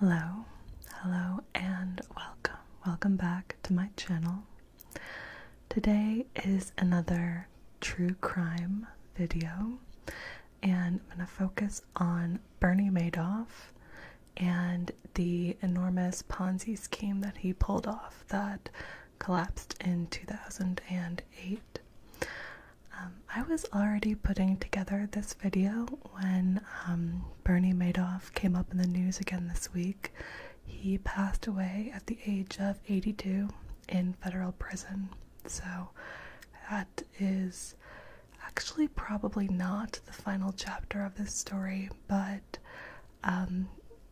Hello, hello, and welcome. Welcome back to my channel. Today is another true crime video, and I'm going to focus on Bernie Madoff and the enormous Ponzi scheme that he pulled off that collapsed in 2008. Um, I was already putting together this video when um, Bernie Madoff came up in the news again this week. He passed away at the age of 82 in federal prison. So that is actually probably not the final chapter of this story, but um,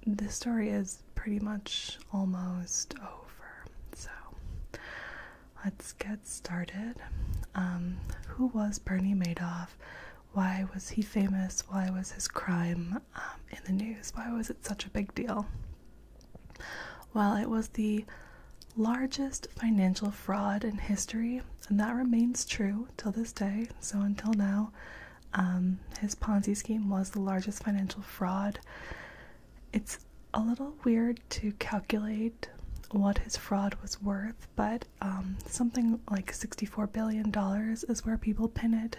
this story is pretty much almost over, so let's get started. Um, who was Bernie Madoff? Why was he famous? Why was his crime um, in the news? Why was it such a big deal? Well, it was the largest financial fraud in history, and that remains true till this day. So, until now, um, his Ponzi scheme was the largest financial fraud. It's a little weird to calculate what his fraud was worth, but um, something like $64 billion is where people pin it.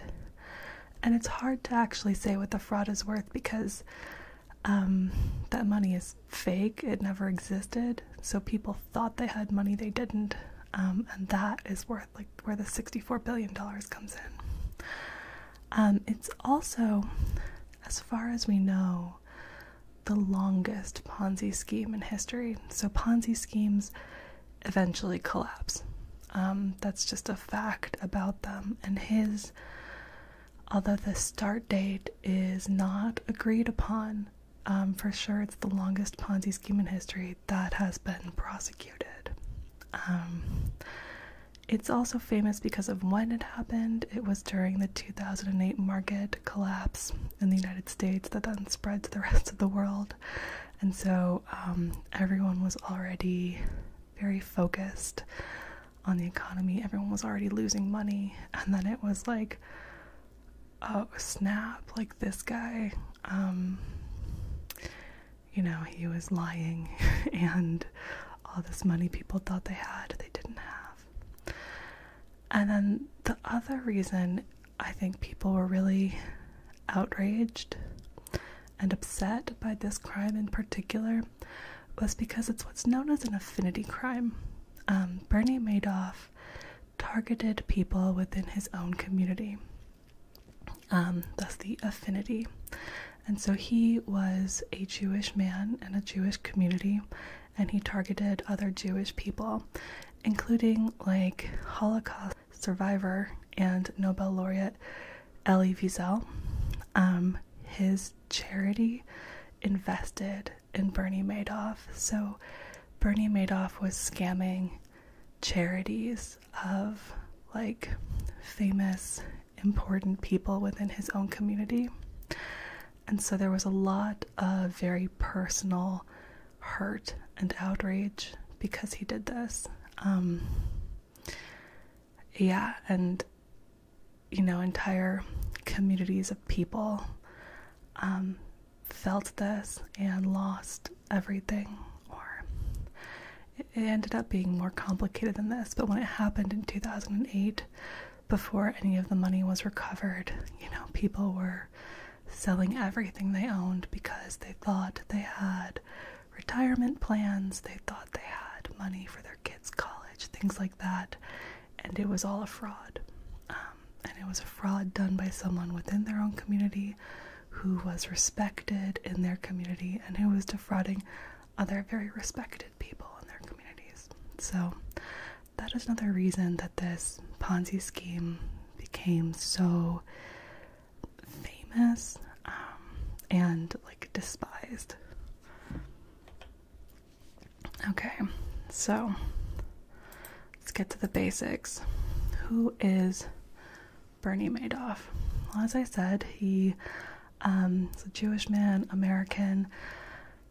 And it's hard to actually say what the fraud is worth because um, that money is fake, it never existed. So people thought they had money they didn't. Um, and that is worth like where the $64 billion comes in. Um, it's also, as far as we know, the longest Ponzi scheme in history. So Ponzi schemes eventually collapse. Um, that's just a fact about them. And his, although the start date is not agreed upon, for sure it's the longest Ponzi scheme in history that has been prosecuted. Um, it's also famous because of when it happened. It was during the 2008 market collapse in the United States that then spread to the rest of the world. And so um, everyone was already very focused on the economy. Everyone was already losing money. And then it was like, oh, snap, like this guy um, you know, he was lying and all this money people thought they had, they didn't have. And then the other reason I think people were really outraged and upset by this crime in particular was because it's what's known as an affinity crime. Um, Bernie Madoff targeted people within his own community. Um, that's the affinity. And so he was a Jewish man in a Jewish community, and he targeted other Jewish people, including like Holocaust survivor and Nobel laureate Elie Wiesel. Um, his charity invested in Bernie Madoff. So Bernie Madoff was scamming charities of like famous, important people within his own community. And so there was a lot of very personal hurt and outrage because he did this. Um, yeah, and you know, entire communities of people um, felt this and lost everything, or it ended up being more complicated than this. But when it happened in 2008, before any of the money was recovered, you know, people were selling everything they owned because they thought they had retirement plans, they thought they had money for their kids' college, things like that, and it was all a fraud. Um, and it was a fraud done by someone within their own community who was respected in their community and who was defrauding other very respected people in their communities. So, that is another reason that this Ponzi scheme became so famous um, and like despised. Okay, so let's get to the basics. Who is Bernie Madoff. Well, as I said, he um, is a Jewish man, American.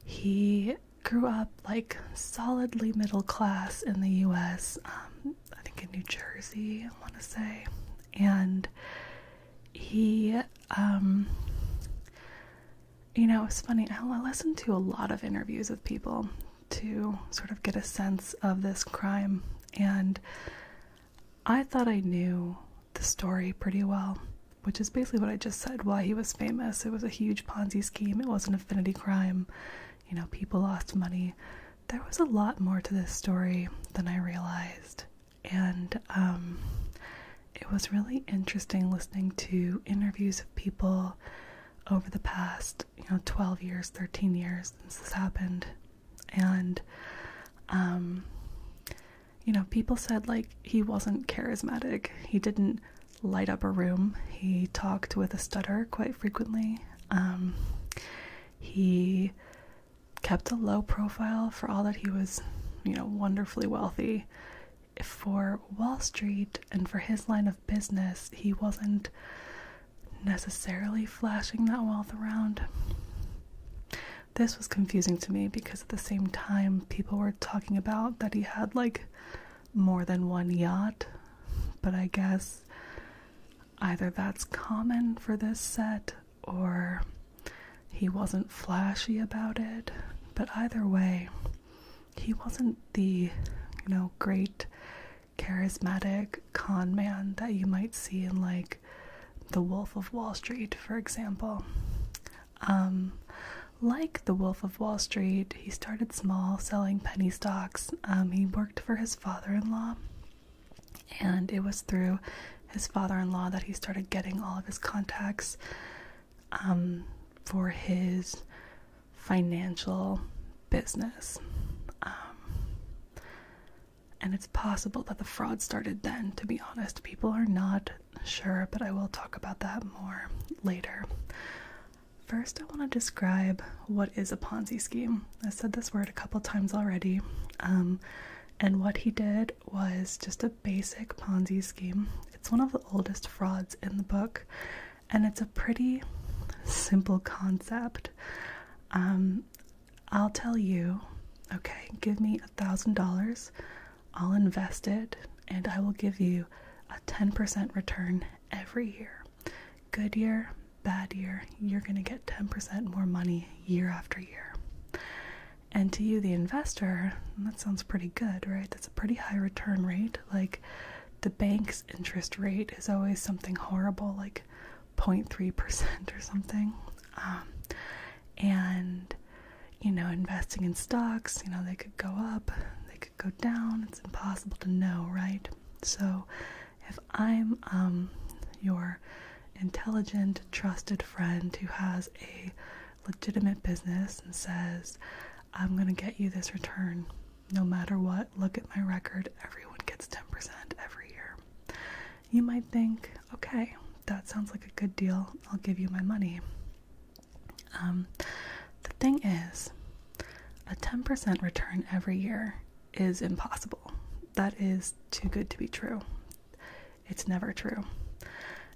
He grew up like solidly middle class in the US, um, I think in New Jersey, I want to say. And he, um, you know, it's funny. I listened to a lot of interviews with people to sort of get a sense of this crime. And I thought I knew the story pretty well, which is basically what I just said why he was famous. It was a huge Ponzi scheme, it was an affinity crime. You know, people lost money. There was a lot more to this story than I realized. And um, it was really interesting listening to interviews of people over the past, you know, 12 years, 13 years since this happened and um, you know people said like he wasn't charismatic he didn't light up a room he talked with a stutter quite frequently um, he kept a low profile for all that he was you know wonderfully wealthy for wall street and for his line of business he wasn't necessarily flashing that wealth around. This was confusing to me because at the same time, people were talking about that he had like more than one yacht, but I guess either that's common for this set or he wasn't flashy about it. But either way, he wasn't the, you know, great charismatic con man that you might see in like The Wolf of Wall Street, for example. Um, like The Wolf of Wall Street, he started small selling penny stocks. Um, he worked for his father in law, and it was through his father in law that he started getting all of his contacts um, for his financial business. And it's possible that the fraud started then, to be honest. People are not sure, but I will talk about that more later. First, I want to describe what is a Ponzi scheme. I said this word a couple times already. Um, and what he did was just a basic Ponzi scheme. It's one of the oldest frauds in the book, and it's a pretty simple concept. Um, I'll tell you, okay, give me a thousand dollars, I'll invest it, and I will give you a 10% return every year. Good year, bad year, you're going to get 10% more money year after year. And to you, the investor, that sounds pretty good, right? That's a pretty high return rate. Like the bank's interest rate is always something horrible, like 0.3% or something. Um, and, you know, investing in stocks, you know, they could go up, they could go down. It's impossible to know, right? So if I'm um, your intelligent, trusted friend who has a legitimate business and says, I'm going to get you this return no matter what. Look at my record. Everyone gets 10% every year. You might think, okay, that sounds like a good deal. I'll give you my money. Um, the thing is, a 10% return every year is impossible. That is too good to be true. It's never true.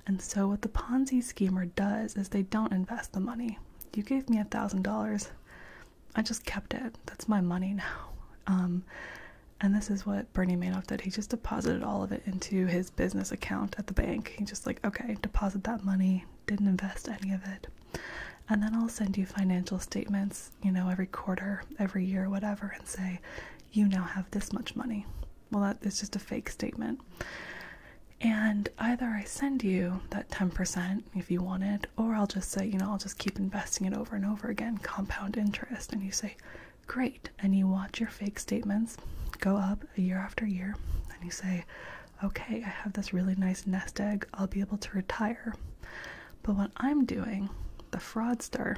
And so, what the Ponzi schemer does is they don't invest the money. You gave me a $1,000. I just kept it. That's my money now. Um, and this is what Bernie Madoff did. He just deposited all of it into his business account at the bank. He just like, okay, deposit that money. Didn't invest any of it. And then I'll send you financial statements, you know, every quarter, every year, whatever, and say, you now have this much money. Well, that is just a fake statement. And either I send you that 10% if you want it, or I'll just say, you know, I'll just keep investing investing it over and over again, compound interest. And you say, Great. And you watch your fake statements go up year after year. And you say, Okay, I have this really nice nest egg. I'll be able to retire. But what I'm doing, the fraudster,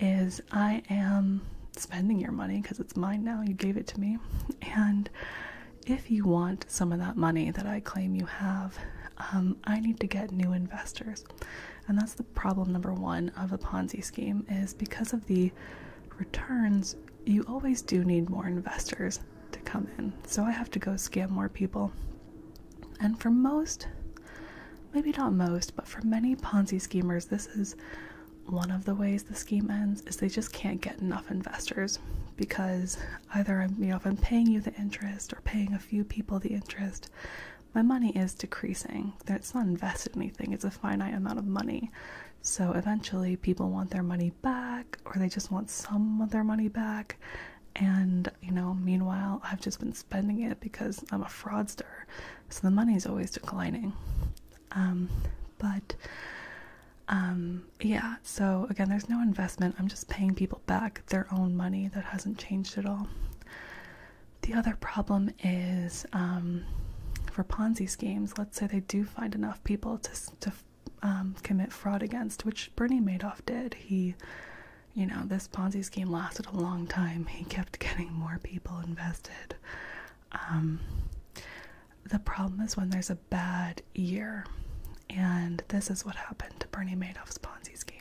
is I am spending your money because it's mine now. You gave it to me. And if you want some of that money that I claim you have, um, I need to get new investors. And that's the problem number one of the Ponzi scheme is because of the returns, you always do need more investors to come in. So I have to go scam more people. And for most, maybe not most, but for many Ponzi schemers, this is one of the ways the scheme ends is they just can't get enough investors because either I'm you know I'm paying you the interest or paying a few people the interest my money is decreasing. It's not invested anything, it's a finite amount of money. So eventually people want their money back or they just want some of their money back. And you know, meanwhile, I've just been spending it because I'm a fraudster. So the money's always declining. Um, but um, yeah, so again, there's no investment. I'm just paying people back their own money. That hasn't changed at all. The other problem is um, for Ponzi schemes. Let's say they do find enough people to um, commit fraud against, which Bernie Madoff did. He, you know, this Ponzi scheme lasted a long time. He kept getting more people invested. Um, the problem is when there's a bad year, and this is what happened to Bernie Madoff's Ponzi scheme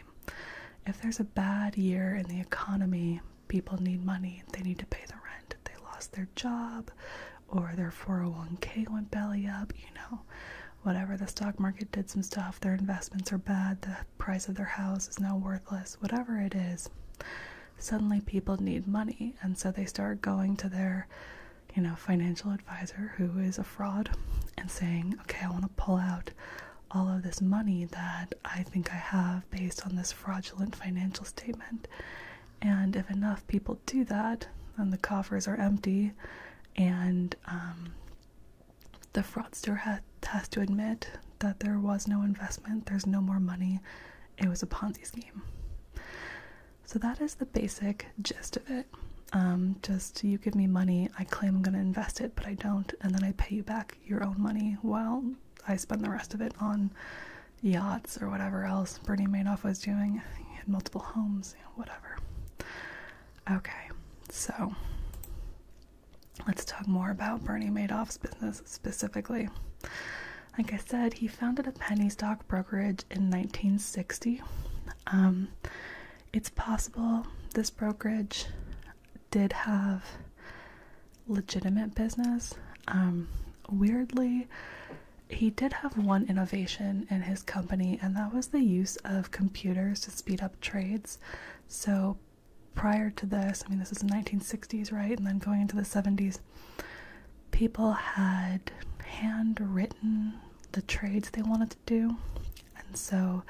if there's a bad year in the economy, people need money, they need to pay the rent, they lost their job, or their 401k went belly up, you know, whatever. The stock market did some stuff, their investments are bad, the price of their house is now worthless, whatever it is. Suddenly, people need money, and so they start going to their you know, financial advisor who is a fraud and saying, okay, I want to pull out all of this money that I think I have based on this fraudulent financial statement. And if enough people do that, then the coffers are empty, and um, the fraudster has to admit that there was no investment, there's no more money, it was a Ponzi scheme. So that is the basic gist of it. Um, just you give me money, I claim I'm going to invest it, but I don't, and then I pay you back your own money while I spend the rest of it on yachts or whatever else Bernie Madoff was doing. He had multiple homes, you whatever. Okay, so let's talk more about Bernie Madoff's business specifically. Like I said, he founded a penny stock brokerage in 1960. Um, it's possible this brokerage did have legitimate business. Um, weirdly, he did have one innovation in his company, and that was the use of computers to speed up trades. So, prior to this, I mean, this is the 1960s, right? And then going into the 70s, people had handwritten the trades they wanted to do. And so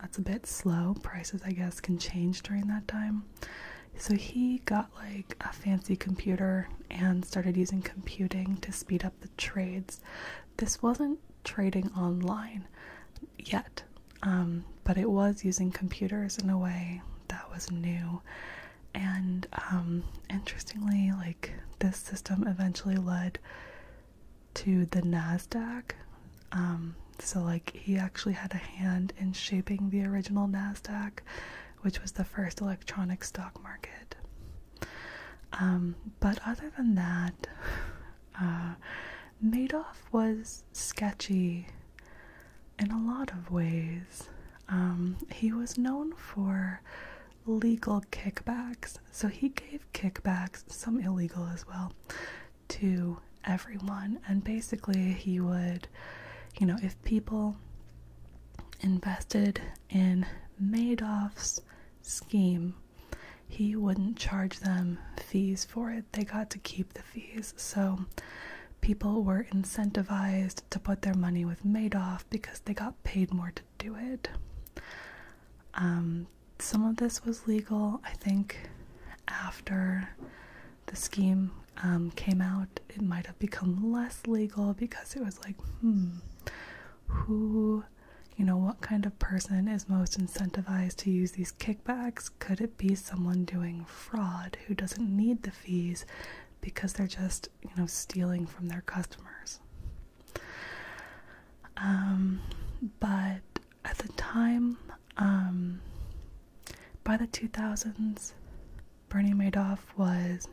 that's a bit slow. Prices, I guess, can change during that time. So he got like a fancy computer and started using computing to speed up the trades. This wasn't trading online yet, um, but it was using computers in a way that was new. And um, interestingly, like this system eventually led to the NASDAQ. Um, so, like, he actually had a hand in shaping the original NASDAQ, which was the first electronic stock market. Um, but other than that, uh, Madoff was sketchy in a lot of ways. Um, he was known for legal kickbacks so he gave kickbacks, some illegal as well, to everyone. And basically, he would, you know, if people invested in Madoff's scheme, he wouldn't charge them fees for it. They got to keep the fees. So people were incentivized to put their money with Madoff because they got paid more to do it. Um, some of this was legal, I think, after the scheme um, came out. It might have become less legal because it was like, hmm, who, you know, what kind of person is most incentivized to use these kickbacks? Could it be someone doing fraud who doesn't need the fees because they're just, you know, stealing from their customers? Um, but at the time, um, by the 2000s, Bernie Madoff was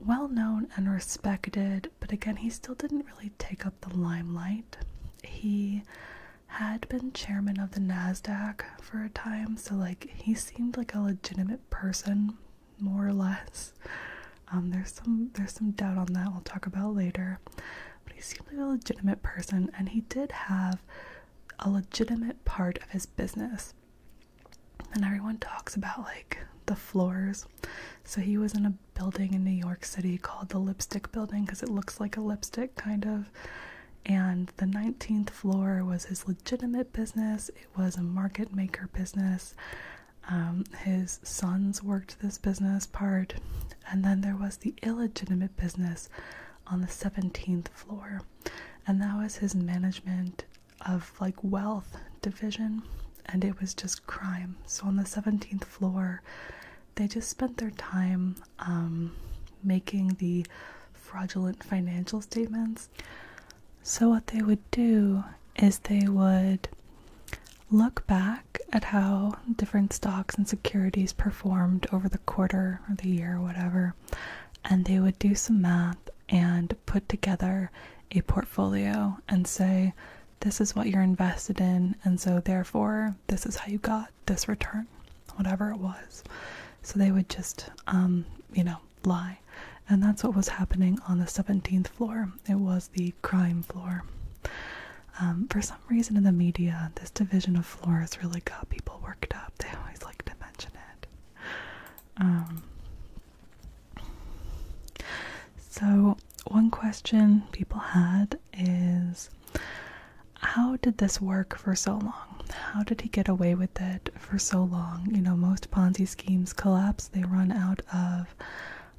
well known and respected, but again, he still didn't really take up the limelight. He had been chairman of the NASDAQ for a time, so like he seemed like a legitimate person, more or less. Um, there's some there's some doubt on that we'll talk about later but he seemed like a legitimate person and he did have a legitimate part of his business. And everyone talks about like the floors. So he was in a building in New York City called the Lipstick Building because it looks like a lipstick kind of. And the 19th floor was his legitimate business, it was a market maker business. Um, his sons worked this business part, and then there was the illegitimate business on the 17th floor, and that was his management of like wealth division, and it was just crime. So on the 17th floor, they just spent their time um, making the fraudulent financial statements. So, what they would do is they would look back at how different stocks and securities performed over the quarter or the year or whatever, and they would do some math and put together a portfolio and say, this is what you're invested in, and so therefore, this is how you got this return, whatever it was. So they would just, um, you know, lie. And that's what was happening on the 17th floor. It was the crime floor. Um, for some reason in the media, this division of floors really got people worked up. They always like to mention it. Um, so, one question people had is how did this work for so long? How did he get away with it for so long? You know, most Ponzi schemes collapse, they run out of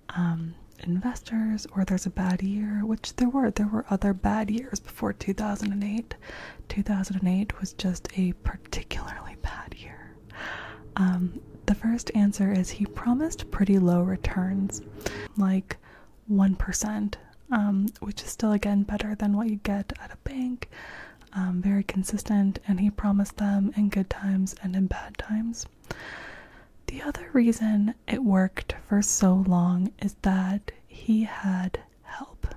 um, investors or there's a bad year, which there were. There were other bad years before 2008. 2008 was just a particularly bad year. Um, the first answer is he promised pretty low returns, like 1%, um, which is still again better than what you get at a bank. Um, very consistent, and he promised them in good times and in bad times. The other reason it worked for so long is that he had help.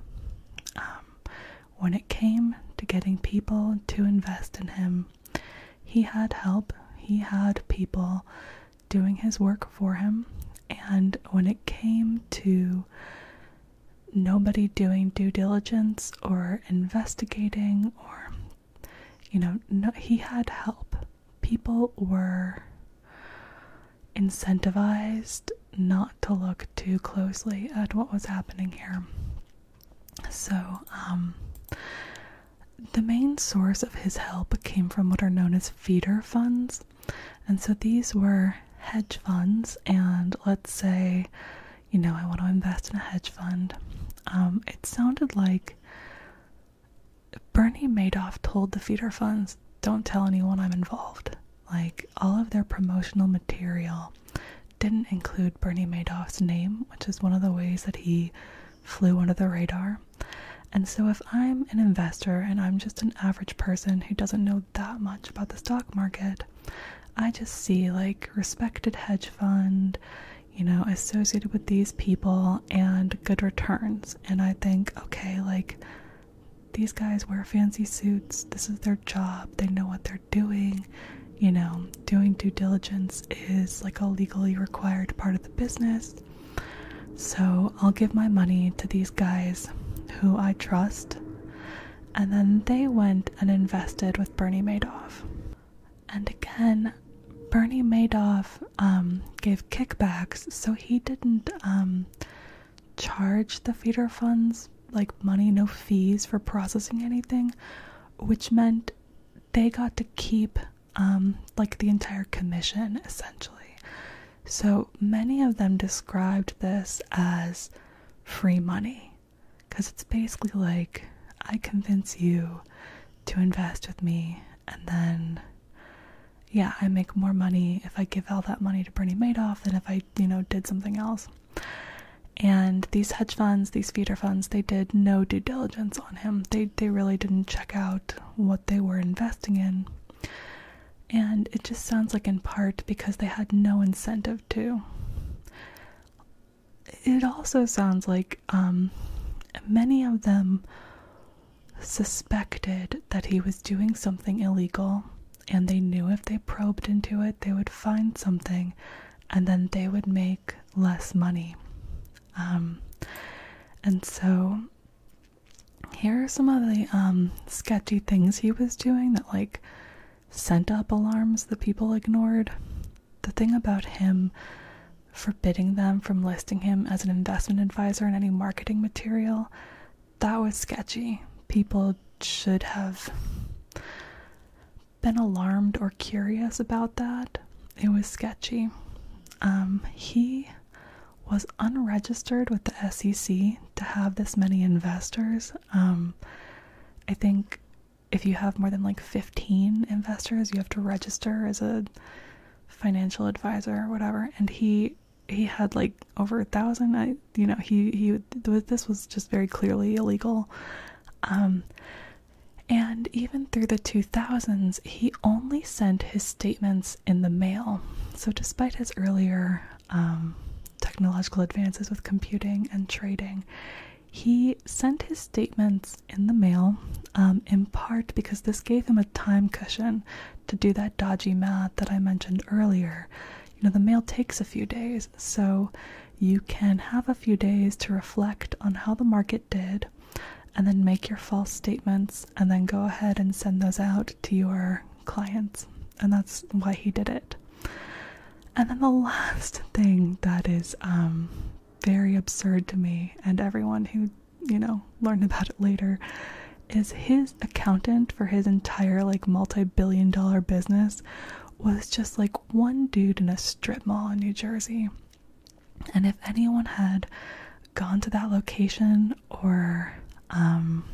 Um, when it came to getting people to invest in him, he had help, he had people doing his work for him, and when it came to nobody doing due diligence or investigating or you know he had help people were incentivized not to look too closely at what was happening here. So, um, the main source of his help came from what are known as feeder funds. And so these were hedge funds. And let's say, you know, I want to invest in a hedge fund. Um, it sounded like Bernie Madoff told the feeder funds, don't tell anyone I'm involved. Like, all of their promotional material didn't include Bernie Madoff's name, which is one of the ways that he flew under the radar. And so, if I'm an investor and I'm just an average person who doesn't know that much about the stock market, I just see like respected hedge fund, you know, associated with these people and good returns. And I think, okay, like these guys wear fancy suits, this is their job, they know what they're doing. You know, doing due diligence is like a legally required part of the business. So I'll give my money to these guys who I trust. And then they went and invested with Bernie Madoff. And again, Bernie Madoff um, gave kickbacks, so he didn't um, charge the feeder funds like money, no fees for processing anything, which meant they got to keep um, like the entire commission essentially. So many of them described this as free money because it's basically like I convince you to invest with me and then yeah, I make more money if I give all that money to Bernie Madoff than if I, you know, did something else. And these hedge funds, these feeder funds, they did no due diligence on him. They they really didn't check out what they were investing in. And it just sounds like in part because they had no incentive to. It also sounds like um, many of them suspected that he was doing something illegal, and they knew if they probed into it, they would find something and then they would make less money. Um, and so here are some of the um, sketchy things he was doing that like sent up alarms that people ignored. The thing about him forbidding them from listing him as an investment advisor in any marketing material, that was sketchy. People should have been alarmed or curious about that. It was sketchy. Um, he was unregistered with the SEC to have this many investors. Um, I think if you have more than like 15 investors, you have to register as a financial advisor or whatever and he he had like over a thousand i you know he he this was just very clearly illegal um and even through the 2000s he only sent his statements in the mail so despite his earlier um, technological advances with computing and trading he sent his statements in the mail, um, in part because this gave him a time cushion to do that dodgy math that I mentioned earlier. You know, the mail takes a few days, so you can have a few days to reflect on how the market did and then make your false statements and then go ahead and send those out to your clients. And that's why he did it. And then the last thing that is um, very absurd to me, and everyone who you know, learn about it later, is his accountant for his entire like multi-billion dollar business was just like one dude in a strip mall in New Jersey. And if anyone had gone to that location or um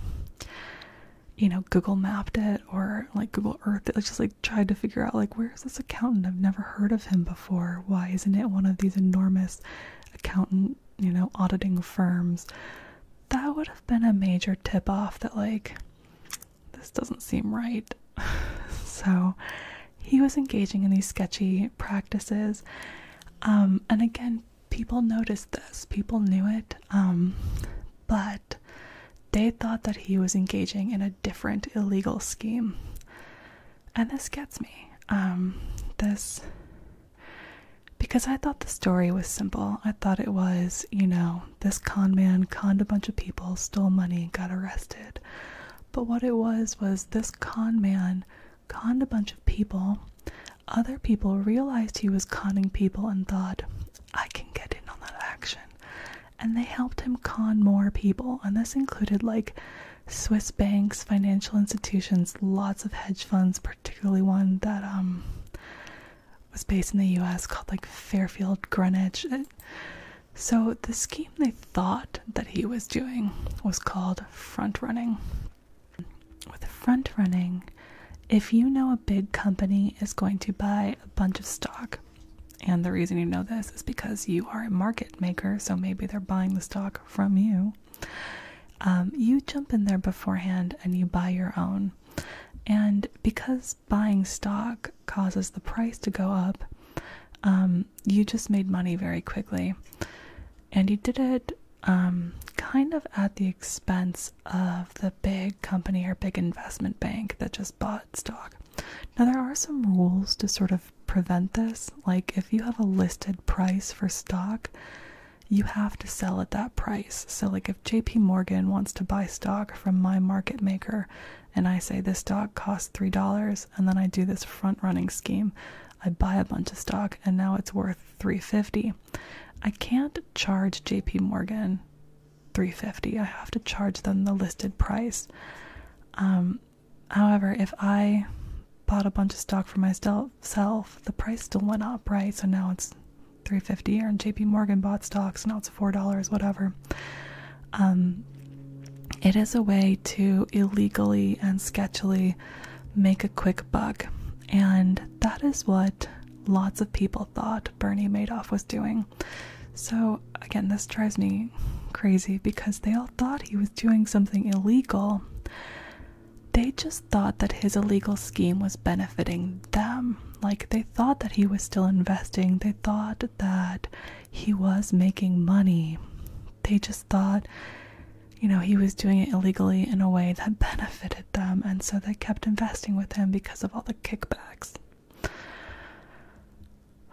you know, Google mapped it or like Google Earth it just like tried to figure out like where's this accountant? I've never heard of him before. Why isn't it one of these enormous accountant, you know, auditing firms? That would have been a major tip off that, like, this doesn't seem right. so he was engaging in these sketchy practices. Um, and again, people noticed this, people knew it, um, but they thought that he was engaging in a different illegal scheme and this gets me um this because i thought the story was simple i thought it was you know this con man coned a bunch of people stole money got arrested but what it was was this con man coned a bunch of people other people realized he was conning people and thought i can get in on that action and they helped him con more people and this included like Swiss banks, financial institutions, lots of hedge funds, particularly one that um, was based in the US called like Fairfield Greenwich. so the scheme they thought that he was doing was called front running. With front running, if you know a big company is going to buy a bunch of stock, and the reason you know this is because you are a market maker, so maybe they're buying the stock from you. Um, you jump in there beforehand and you buy your own. And because buying stock causes the price to go up, um, you just made money very quickly. And you did it um, kind of at the expense of the big company or big investment bank that just bought stock. Now, there are some rules to sort of prevent this. Like, if you have a listed price for stock, you have to sell at that price. So, like, if JP Morgan wants to buy stock from my market maker and I say this stock costs $3, and then I do this front running scheme, I buy a bunch of stock and now it's worth 350. I can't charge JP Morgan 350. I have to charge them the listed price. Um However, if I bought a bunch of stock for myself, the price still went up, right? So now it's 350 And JP Morgan bought stocks, now it's $4, whatever. Um, it is a way to illegally and sketchily make a quick buck. And that is what lots of people thought Bernie Madoff was doing. So, again, this drives me crazy because they all thought he was doing something illegal. They just thought that his illegal scheme was benefiting them. Like, they thought that he was still investing, they thought that he was making money. They just thought, you know, he was doing it illegally in a way that benefited them, and so they kept investing with him because of all the kickbacks.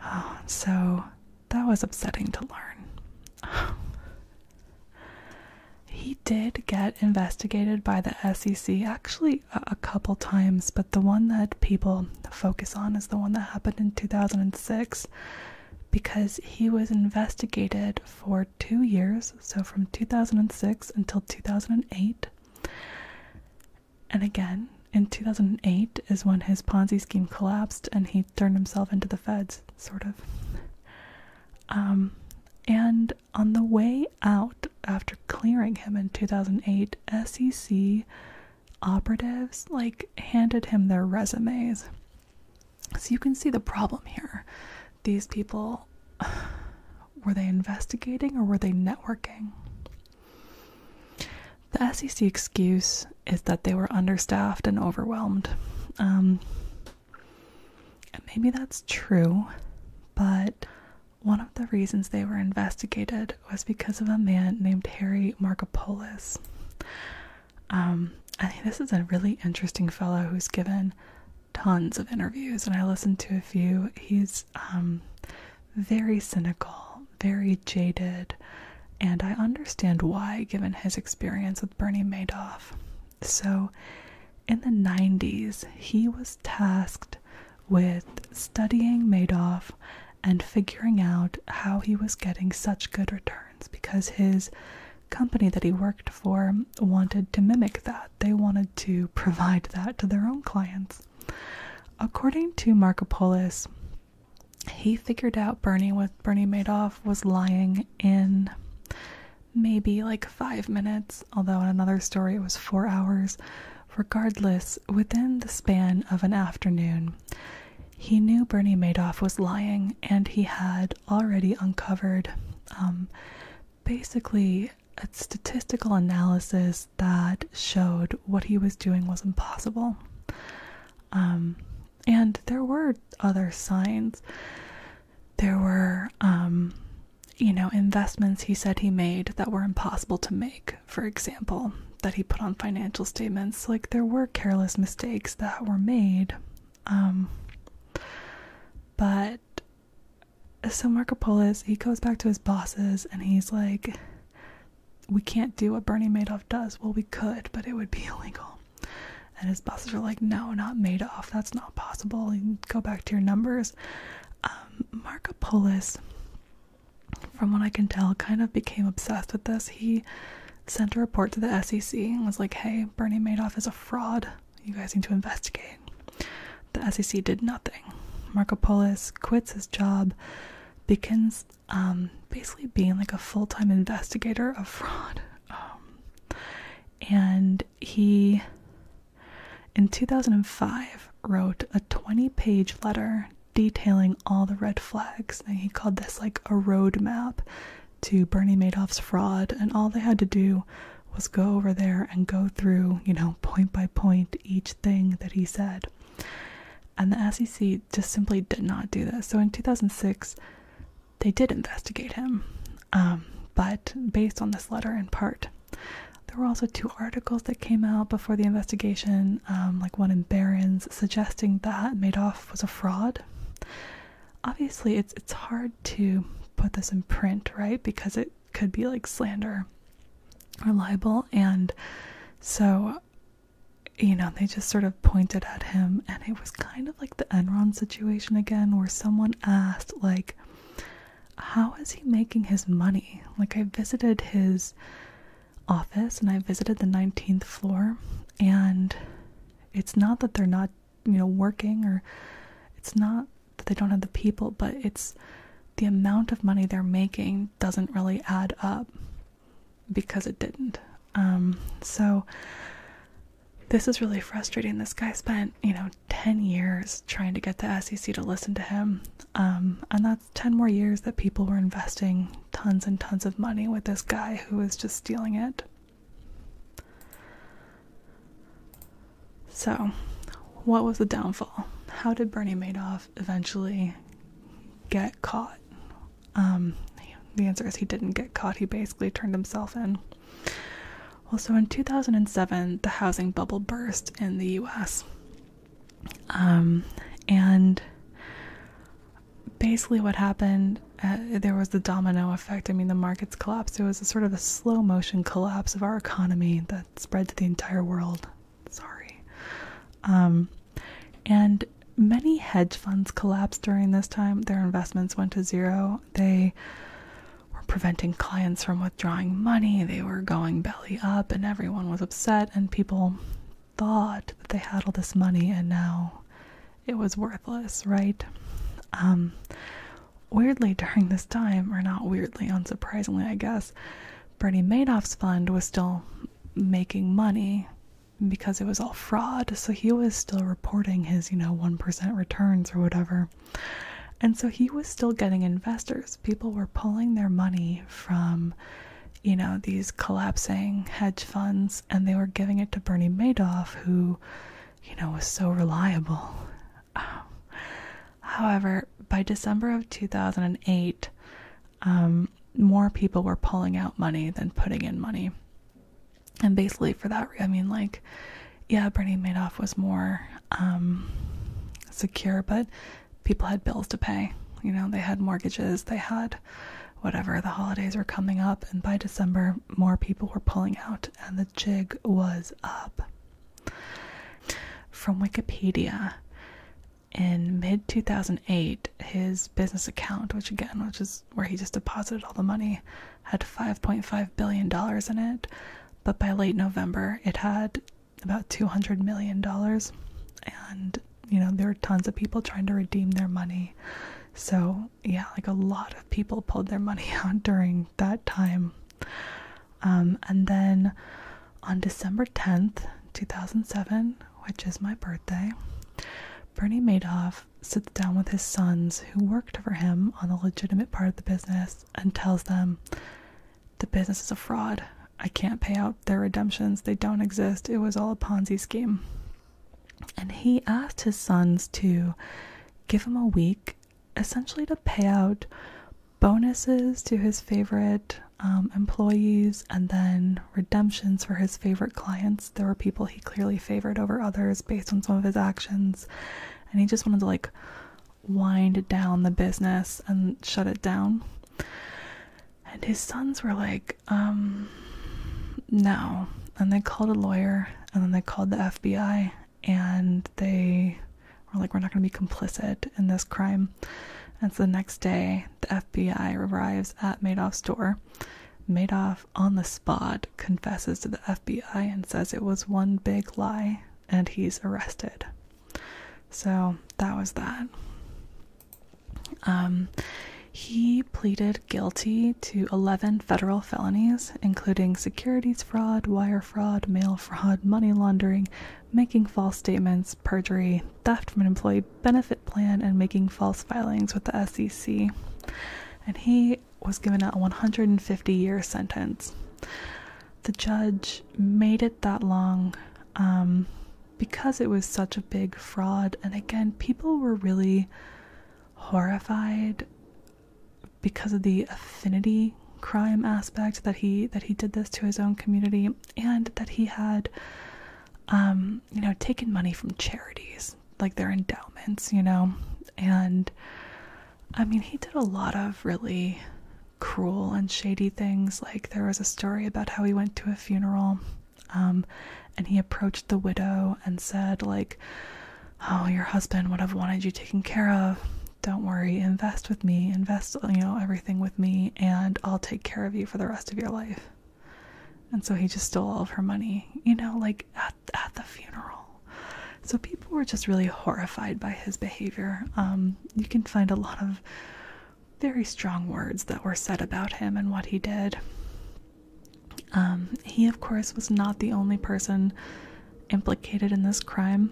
so that was upsetting to learn. he did get investigated by the SEC actually a, a couple times, but the one that people focus on is the one that happened in 2006 because he was investigated for two years, so from 2006 until 2008. And again, in 2008 is when his Ponzi scheme collapsed and he turned himself into the feds, sort of. Um, and on the way out, after clearing him in 2008, SEC operatives like handed him their resumes. So you can see the problem here. These people were they investigating or were they networking? The SEC excuse is that they were understaffed and overwhelmed. Um, and maybe that's true, but one of the reasons they were investigated was because of a man named Harry Markopoulos. Um, this is a really interesting fellow who's given tons of interviews, and I listened to a few. He's um, very cynical, very jaded, and I understand why, given his experience with Bernie Madoff. So, in the 90s, he was tasked with studying Madoff and figuring out how he was getting such good returns because his company that he worked for wanted to mimic that. They wanted to provide that to their own clients. According to Markopolis, he figured out Bernie with Bernie Madoff was lying in maybe like five minutes, although in another story it was four hours. Regardless, within the span of an afternoon, he knew Bernie Madoff was lying and he had already uncovered um, basically a statistical analysis that showed what he was doing was impossible. Um, and there were other signs there were um, you know investments he said he made that were impossible to make for example that he put on financial statements like there were careless mistakes that were made um, but so Marco Polis he goes back to his bosses and he's like we can't do what Bernie Madoff does. Well, we could, but it would be illegal. And his bosses were like, no, not Madoff. That's not possible. go back to your numbers. Um, Marco Polis, from what I can tell, kind of became obsessed with this. He sent a report to the SEC and was like, hey, Bernie Madoff is a fraud. You guys need to investigate. The SEC did nothing. Marco Polis quits his job, begins um, basically being like a full time investigator of fraud. Um, and he, in 2005, wrote a 20 page letter detailing all the red flags. And he called this like a road map to Bernie Madoff's fraud. And all they had to do was go over there and go through, you know, point by point each thing that he said. And the SEC just simply did not do this. So in 2006, they did investigate him. Um, but based on this letter in part, there were also two articles that came out before the investigation, um, like one in Barron's suggesting that Madoff was a fraud. Obviously, it's it's hard to put this in print, right? Because it could be like slander or libel, and so you know, they just sort of pointed at him, and it was kind of like the Enron situation again, where someone asked, like, how is he making his money? Like, I visited his office and I visited the 19th floor, and it's not that they're not, you know, working or it's not that they don't have the people, but it's the amount of money they're making doesn't really add up because it didn't. Um, so this is really frustrating. This guy spent, you know, 10 years trying to get the SEC to listen to him. Um, and that's 10 more years that people were investing tons and tons of money with this guy who was just stealing it. So, what was the downfall? How did Bernie Madoff eventually get caught? Um, the answer is he didn't get caught. He basically turned himself in. Well, so in 2007, the housing bubble burst in the U.S. Um, and basically, what happened uh, there was the domino effect. I mean, the markets collapsed. It was a sort of a slow motion collapse of our economy that spread to the entire world. Sorry. Um, and many hedge funds collapsed during this time. Their investments went to zero. They were preventing clients from withdrawing money. They were going belly up, and everyone was upset. And people thought that they had all this money, and now it was worthless, right? Um, weirdly, during this time, or not weirdly, unsurprisingly, I guess, Bernie Madoff's fund was still making money because it was all fraud. So he was still reporting his, you know, 1% returns or whatever. And so he was still getting investors. People were pulling their money from, you know, these collapsing hedge funds and they were giving it to Bernie Madoff, who, you know, was so reliable. Um, however, by December of 2008, um, more people were pulling out money than putting in money. And basically, for that, I mean, like, yeah, Bernie Madoff was more um, secure, but people had bills to pay. You know, they had mortgages, they had whatever. The holidays were coming up, and by December, more people were pulling out, and the jig was up. From Wikipedia, in mid 2008, his business account, which again, which is where he just deposited all the money had $5.5 billion in it, but by late November it had about $200 million. And, you know, there were tons of people trying to redeem their money. So, yeah, like a lot of people pulled their money out during that time. Um, and then on December 10th, 2007, which is my birthday, Bernie Madoff sits down with his sons who worked for him on the legitimate part of the business and tells them the business is a fraud. I can't pay out their redemptions. They don't exist. It was all a Ponzi scheme. And he asked his sons to give him a week essentially to pay out bonuses to his favorite um, employees and then redemptions for his favorite clients. There were people he clearly favored over others based on some of his actions, and he just wanted to like wind down the business and shut it down. And his sons were like, um, no. And they called a lawyer and then they called the FBI and they were like, we're not going to be complicit in this crime. And so the next day, the FBI arrives at Madoff's door Made off on the spot, confesses to the FBI and says it was one big lie, and he's arrested. So that was that. Um, he pleaded guilty to 11 federal felonies, including securities fraud, wire fraud, mail fraud, money laundering, making false statements, perjury, theft from an employee benefit plan and making false filings with the SEC. And he was given a 150 year sentence. The judge made it that long um, because it was such a big fraud. And again, people were really horrified because of the affinity crime aspect that he that he did this to his own community and that he had um, you know, taking money from charities, like their endowments, you know. And I mean, he did a lot of really cruel and shady things. Like, there was a story about how he went to a funeral um, and he approached the widow and said, like, oh, your husband would have wanted you taken care of. Don't worry, invest with me, invest, you know, everything with me, and I'll take care of you for the rest of your life. And so he just stole all of her money, you know, like at, at the funeral. So people were just really horrified by his behavior. Um, you can find a lot of very strong words that were said about him and what he did. Um, he, of course, was not the only person implicated in this crime.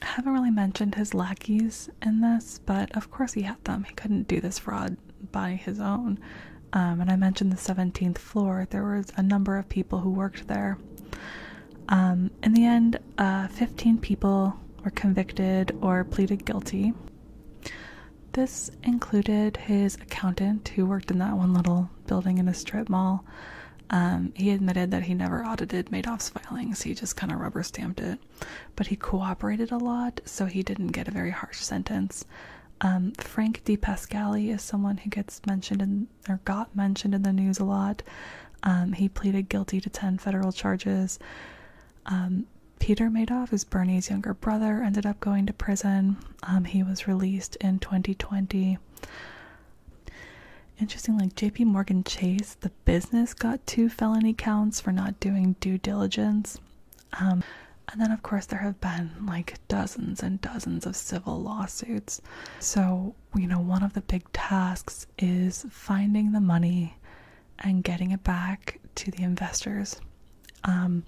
I haven't really mentioned his lackeys in this, but of course he had them. He couldn't do this fraud by his own. Um, and I mentioned the 17th floor, there was a number of people who worked there. Um, in the end, uh, 15 people were convicted or pleaded guilty. This included his accountant, who worked in that one little building in a strip mall. Um, he admitted that he never audited Madoff's filings, he just kind of rubber stamped it. But he cooperated a lot, so he didn't get a very harsh sentence. Um, Frank DePascali is someone who gets mentioned in, or got mentioned in the news a lot. Um, he pleaded guilty to 10 federal charges. Um, Peter Madoff, who's Bernie's younger brother, ended up going to prison. Um, he was released in 2020. Interesting, like JP Morgan Chase, the business got two felony counts for not doing due diligence. Um, and then, of course, there have been like dozens and dozens of civil lawsuits. So, you know, one of the big tasks is finding the money and getting it back to the investors. Um,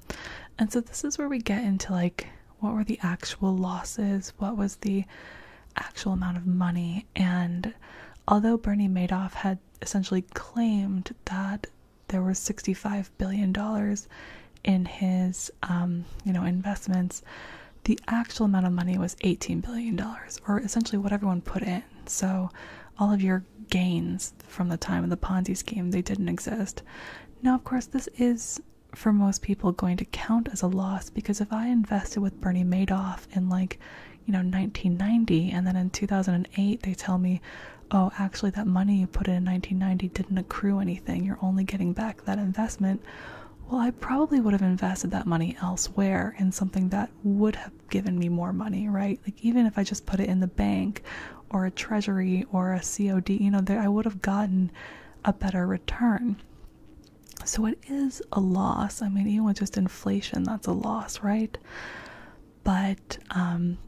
and so, this is where we get into like what were the actual losses, what was the actual amount of money, and although Bernie Madoff had essentially claimed that there was 65 billion dollars in his um, you know investments the actual amount of money was 18 billion dollars or essentially what everyone put in so all of your gains from the time of the ponzi scheme they didn't exist now of course this is for most people going to count as a loss because if i invested with bernie madoff in like you know 1990 and then in 2008 they tell me oh, actually, that money you put in in 1990 didn't accrue anything, you're only getting back that investment. Well, I probably would have invested that money elsewhere in something that would have given me more money, right? Like, even if I just put it in the bank or a treasury or a COD, you know, I would have gotten a better return. So it is a loss. I mean, even with just inflation, that's a loss, right? but um,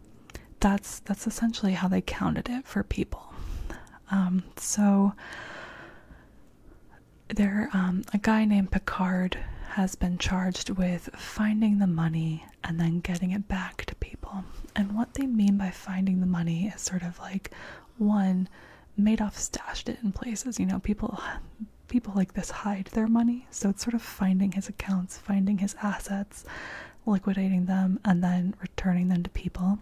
that's that's essentially how they counted it for people. Um, so there, um, a guy named Picard has been charged with finding the money and then getting it back to people. And what they mean by finding the money is sort of like one, Madoff stashed it in places. You know, people people like this hide their money, so it's sort of finding his accounts, finding his assets, liquidating them, and then returning them to people.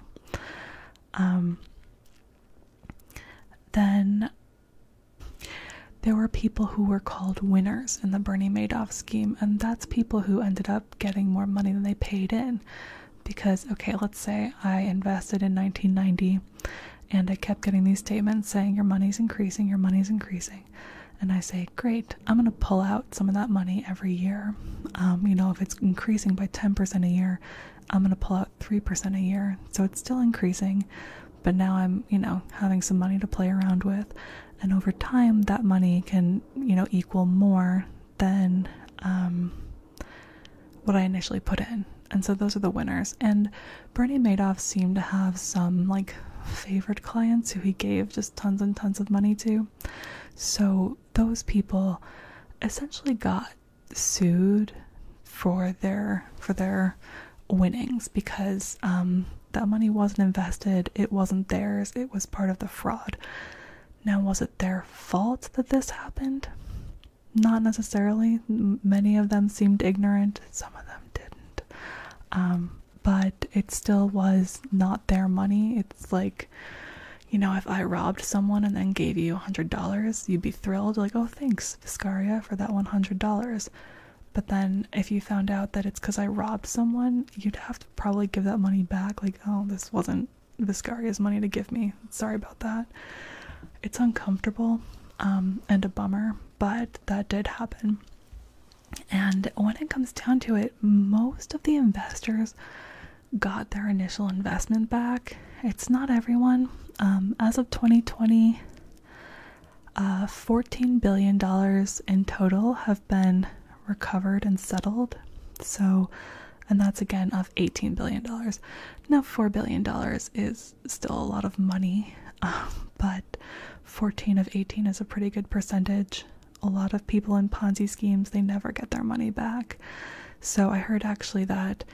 Um, then there were people who were called winners in the Bernie Madoff scheme, and that's people who ended up getting more money than they paid in. Because, okay, let's say I invested in 1990 and I kept getting these statements saying your money's increasing, your money's increasing and I say, great, I'm going to pull out some of that money every year. Um, you know, if it's increasing by 10% a year, I'm going to pull out 3% a year. So it's still increasing, but now I'm, you know, having some money to play around with. And over time, that money can, you know, equal more than um, what I initially put in. And so those are the winners. And Bernie Madoff seemed to have some like favored clients who he gave just tons and tons of money to. So those people essentially got sued for their for their winnings because um, that money wasn't invested, it wasn't theirs, it was part of the fraud. Now, was it their fault that this happened? Not necessarily. Many of them seemed ignorant, some of them didn't. Um, but it still was not their money. It's like, you know, if I robbed someone and then gave you $100, you'd be thrilled, like, oh, thanks, Viscaria, for that $100. But then if you found out that it's because I robbed someone, you'd have to probably give that money back, like, oh, this wasn't Viscaria's money to give me. Sorry about that. It's uncomfortable um, and a bummer, but that did happen. And when it comes down to it, most of the investors got their initial investment back. It's not everyone. Um, as of 2020, uh, $14 billion in total have been recovered and settled. So, and that's again of $18 billion. Now, $4 billion is still a lot of money, but 14 of 18 is a pretty good percentage a lot of people in Ponzi schemes, they never get their money back. So I heard actually that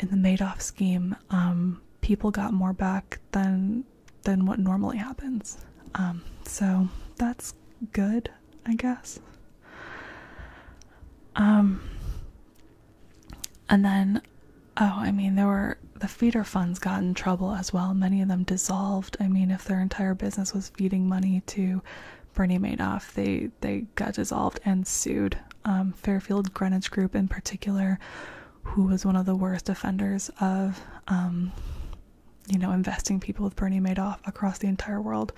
in the Madoff scheme, um, people got more back than than what normally happens. Um, so that's good, I guess. Um, and then, oh, I mean, there were the feeder funds got in trouble as well. Many of them dissolved I mean, if their entire business was feeding money to Bernie Madoff, they they got dissolved and sued. Um, Fairfield Greenwich Group, in particular, who was one of the worst offenders of, um, you know, investing people with Bernie Madoff across the entire world,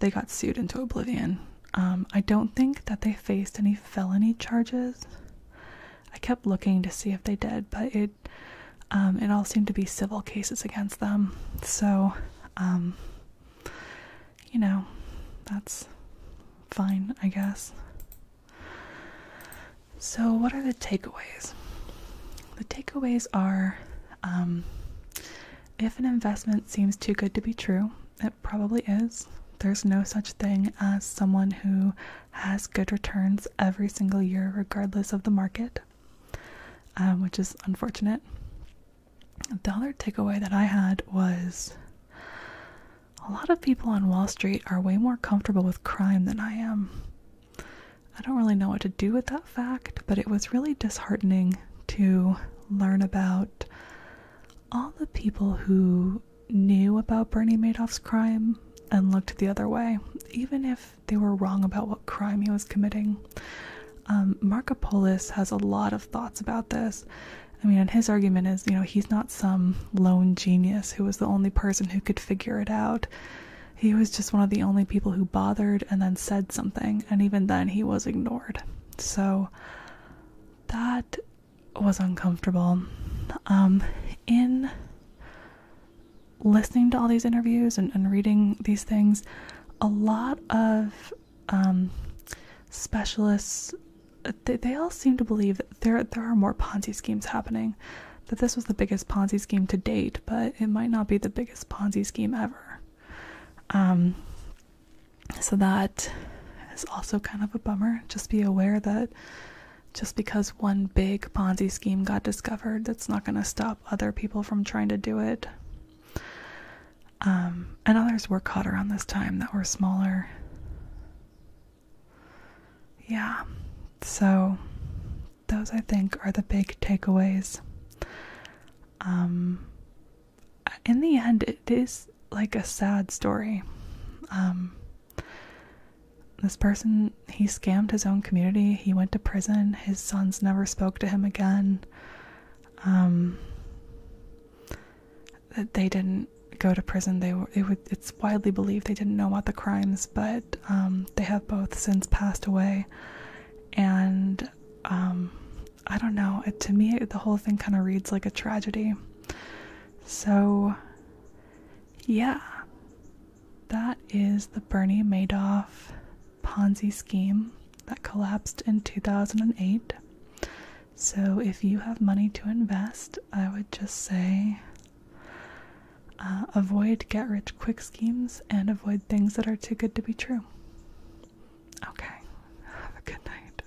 they got sued into oblivion. Um, I don't think that they faced any felony charges. I kept looking to see if they did, but it um, it all seemed to be civil cases against them. So, um, you know, that's fine, I guess. So, what are the takeaways? The takeaways are um, if an investment seems too good to be true, it probably is. There's no such thing as someone who has good returns every single year, regardless of the market. Um, which is unfortunate. The other takeaway that I had was a lot of people on Wall Street are way more comfortable with crime than I am. I don't really know what to do with that fact, but it was really disheartening to learn about all the people who knew about Bernie Madoff's crime and looked the other way, even if they were wrong about what crime he was committing. Um, Marcopolis has a lot of thoughts about this. I mean, and his argument is, you know, he's not some lone genius who was the only person who could figure it out. He was just one of the only people who bothered and then said something, and even then he was ignored. So that was uncomfortable. Um, in listening to all these interviews and, reading these things, a lot of um, specialists they, they all seem to believe that there there are more Ponzi schemes happening, that this was the biggest Ponzi scheme to date, but it might not be the biggest Ponzi scheme ever. Um, so that is also kind of a bummer. Just be aware that just because one big Ponzi scheme got discovered, that's not going to stop other people from trying to do it. Um, and others were caught around this time that were smaller. Yeah, so those I think are the big takeaways. Um, in the end, it is like a sad story. Um, this person, he scammed his own community. He went to prison. His sons never spoke to him again. Um, that they didn't go to prison. They were. it's widely believed they didn't know about the crimes, but um, they have both since passed away. And um, I don't know. to me, the whole thing kind of reads like a tragedy. So, yeah. That is the Bernie Madoff Ponzi scheme that collapsed in 2008. So, if you have money to invest, I would just say uh, avoid get rich quick schemes and avoid things that are too good to be true. Okay, have a good night.